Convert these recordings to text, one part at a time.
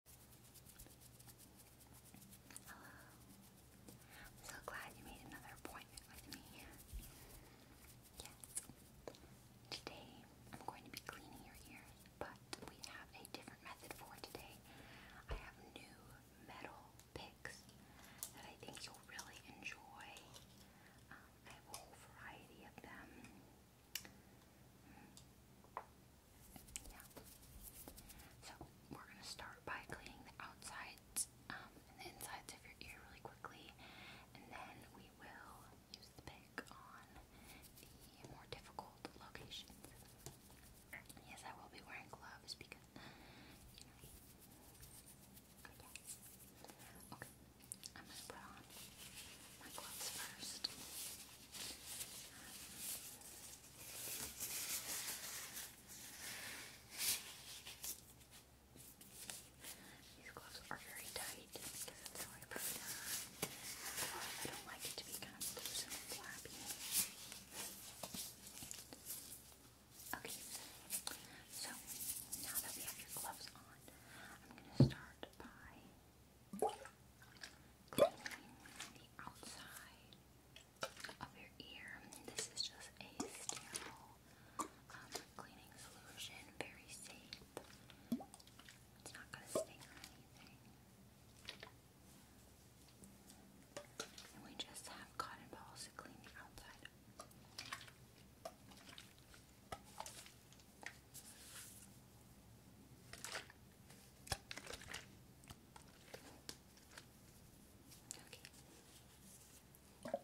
Hello. I'm so glad you made another appointment with me. Yes. Today I'm going to be cleaning your ears, but we have a different method for today. I have new metal picks that I think you'll really enjoy. Um, I have a whole variety of them. So we're gonna start by cleaning the outsides um, and the insides of your ear really quickly, and then we will use the pick on the more difficult locations. Yes, I will be wearing gloves because Okay. I'm gonna put on my gloves first. These gloves are very tight because it's how I put I don't like it to be kind of loose and flappy. Okay, so now that we have your gloves on, I'm going to start by clean the outside of your ear. This is just a sterile cleaning solution, very safe. It's not going to sting or anything. And we just have cotton balls to clean the outside. Okay. Yeah.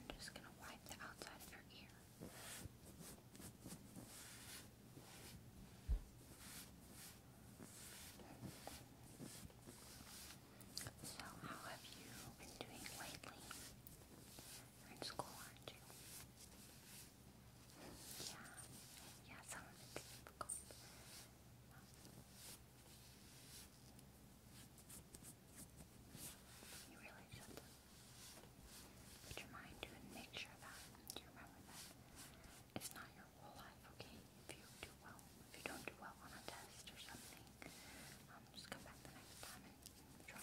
I'm just going to wipe the outside of your ear. So, how have you been doing lately? in school, Yeah, yeah, some of it's difficult. You really should put your mind to it and make sure that you remember that it's not your whole life, okay? If you do well, if you don't do well on a test or something, um, just come back the next time and try your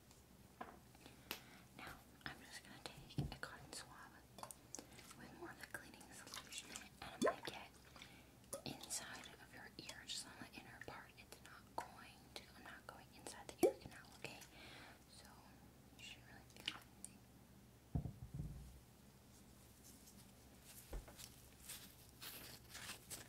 Now, I'm just going to take a cotton swab with more of the cleaning solution and I'm going to get inside of your ear, just on the inner part. It's not going I'm not going inside the ear canal, you Okay.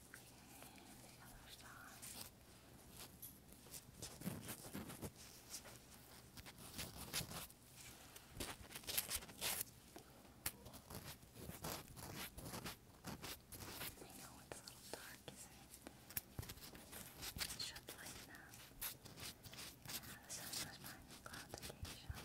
And the I know it's a little dark, isn't it? It Yeah, the sun was behind the occasionally.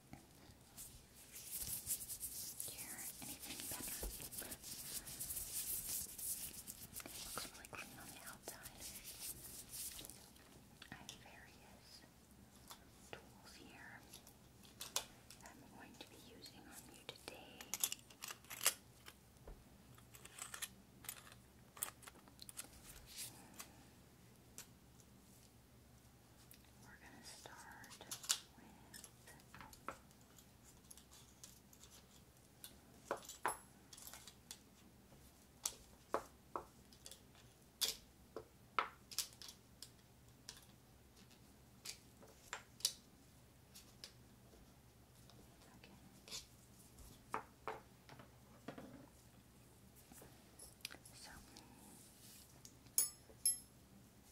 hear anything better. looks really clean on the outside. I have various tools here that I'm going to be using on you today. We're going to start with. Okay. So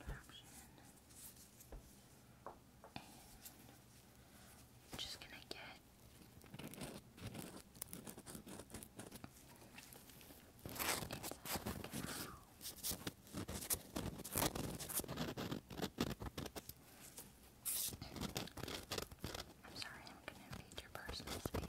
option. And I'm just gonna get I'm sorry, I'm gonna invade your personal space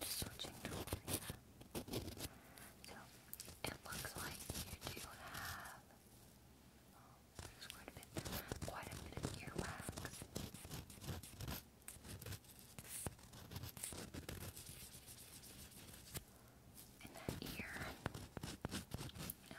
Just switching to over here. So it looks like you do have oh, quite a bit quite a bit of earwax. In that ear. Yeah.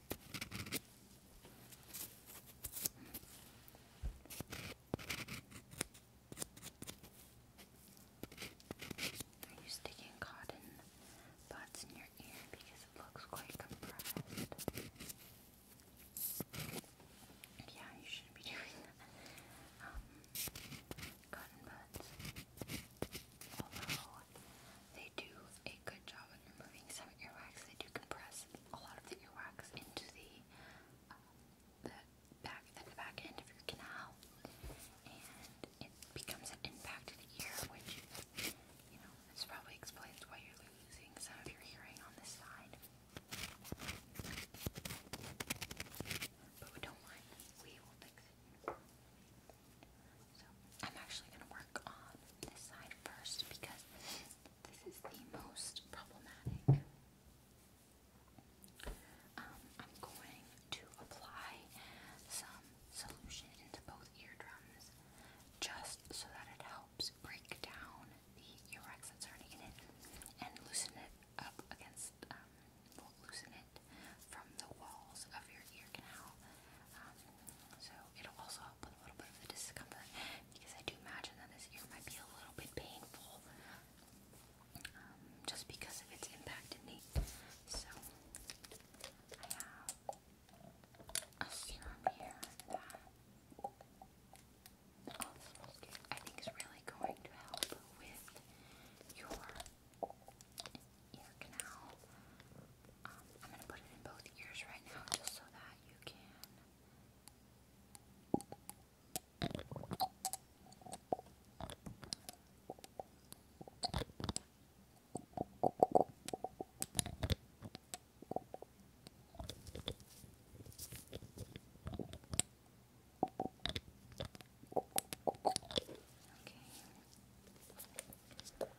Are you sticking cotton butts in your ear because it looks quite compressed? Yeah, you shouldn't be doing that. Um, cotton butts although they do a good job of removing some earwax, they do compress a lot of the earwax into the, uh, the back at the back end of your canal, and it becomes an impacted ear, which you know this probably explains why you're losing some of your hearing on this side. But we don't mind; we will fix it. So I'm actually going to work on this side first because this is the most problematic. Um, I'm going to apply some solution into both eardrums just so that it helps break down the earwax that's already in it and loosen it up against, um, loosen it from the walls of your ear canal. Um, so it'll also help with a little bit of the discomfort because I do imagine that this ear might be a little bit painful um, just because of its impact in me. So I have a serum here that oh, I think is really going to help with your ear canal. Um, I'm going to put it in both ears right now just so that you can. Okay.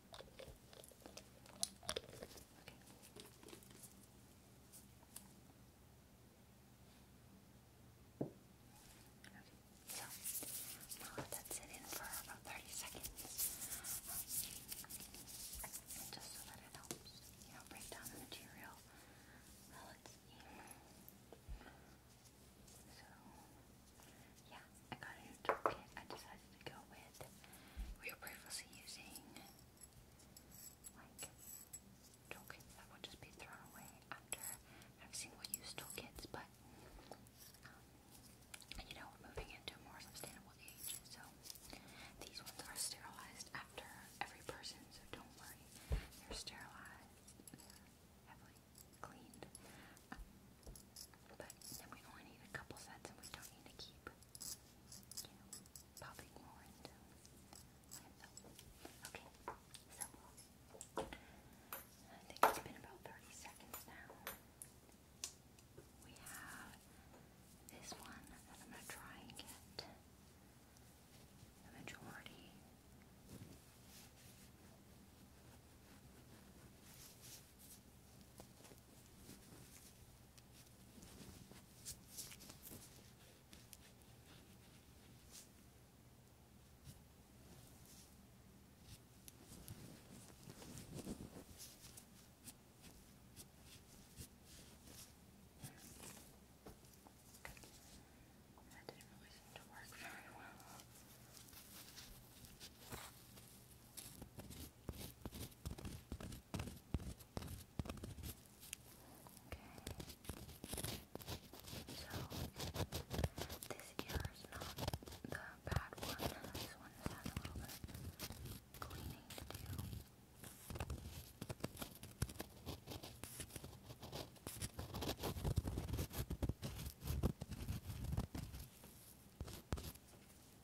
Okay, so now let that sit in for about 30 seconds. Um, just so that it helps, you know, break down the material. Well, let's see. So, yeah, I got a new toolkit. I decided to go with we were previously using like toolkits that would just be thrown away after having single-use toolkits, but um, you know moving into more sustainable age, so these ones are sterilized after every person, so don't worry, they're sterilized, heavily cleaned. But then we only need a couple sets and we don't need to keep, you popping more Okay, so I think it's been about 30 seconds now. We have this one that I'm going to try and get the majority. That didn't really seem to work very well this ear is not the bad one. This one has a little bit cleaning to do.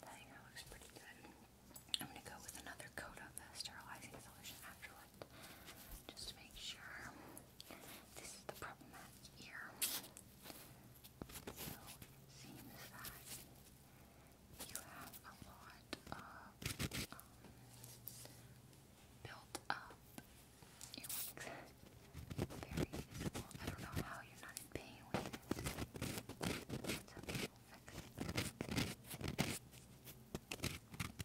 That hair looks pretty good. I'm gonna go with another coat of sterilizing solution after it, just to make sure this is the problematic ear. So seems that you have a lot of um, built up. You know, very I don't know how you're not in pain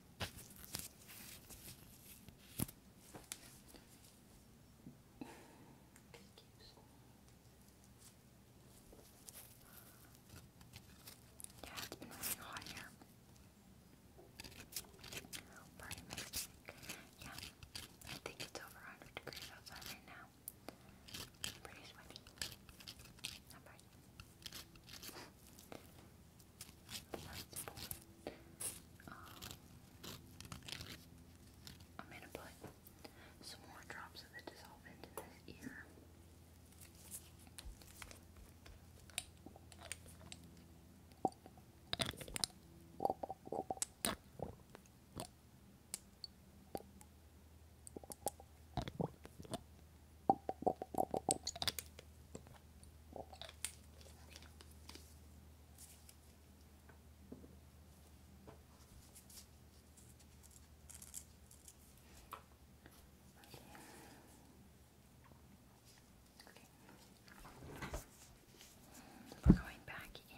Yeah, it's been really hot here. Party mix. Yeah, I think it's over 100 degrees outside right now. pretty sweaty. Not bad. That's fine. I'm gonna put some more drops of the dissolvent in this ear. We're going back in.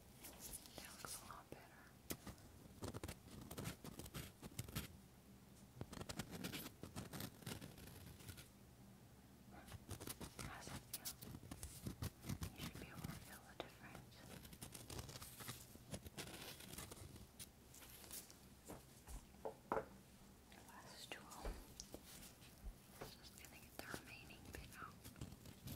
That looks a lot better. How's it feel? You should be able to feel the difference. Last tool. Just gonna get the remaining bit out.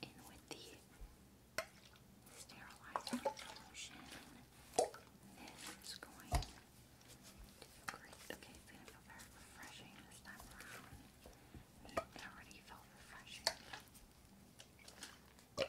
go in with the sterilizing solution. This is going to feel great. Okay, it's going to feel very refreshing this time around. It already felt refreshing. Okay.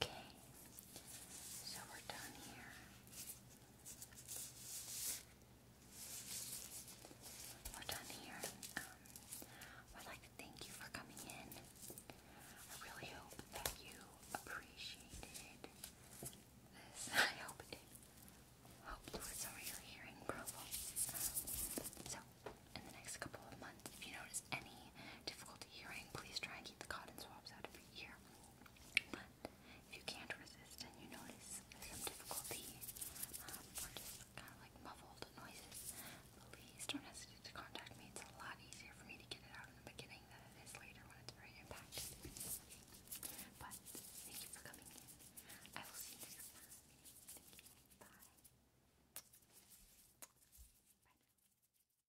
okay, so we're done here. We're done here. Um, I'd like to thank you for coming in. I really hope that you appreciated this. I hope it helped with some of your hearing problems. Um, so, in the next couple of months, if you notice any difficulty hearing, please try and keep the cotton swabs out of your ear if you can't resist and you notice some difficulty um, or just kind of like muffled noises, please don't hesitate to contact me. It's a lot easier for me to get it out in the beginning than it is later when it's very impacted. But thank you for coming in. I will see you next time. Thank you. Bye. Bye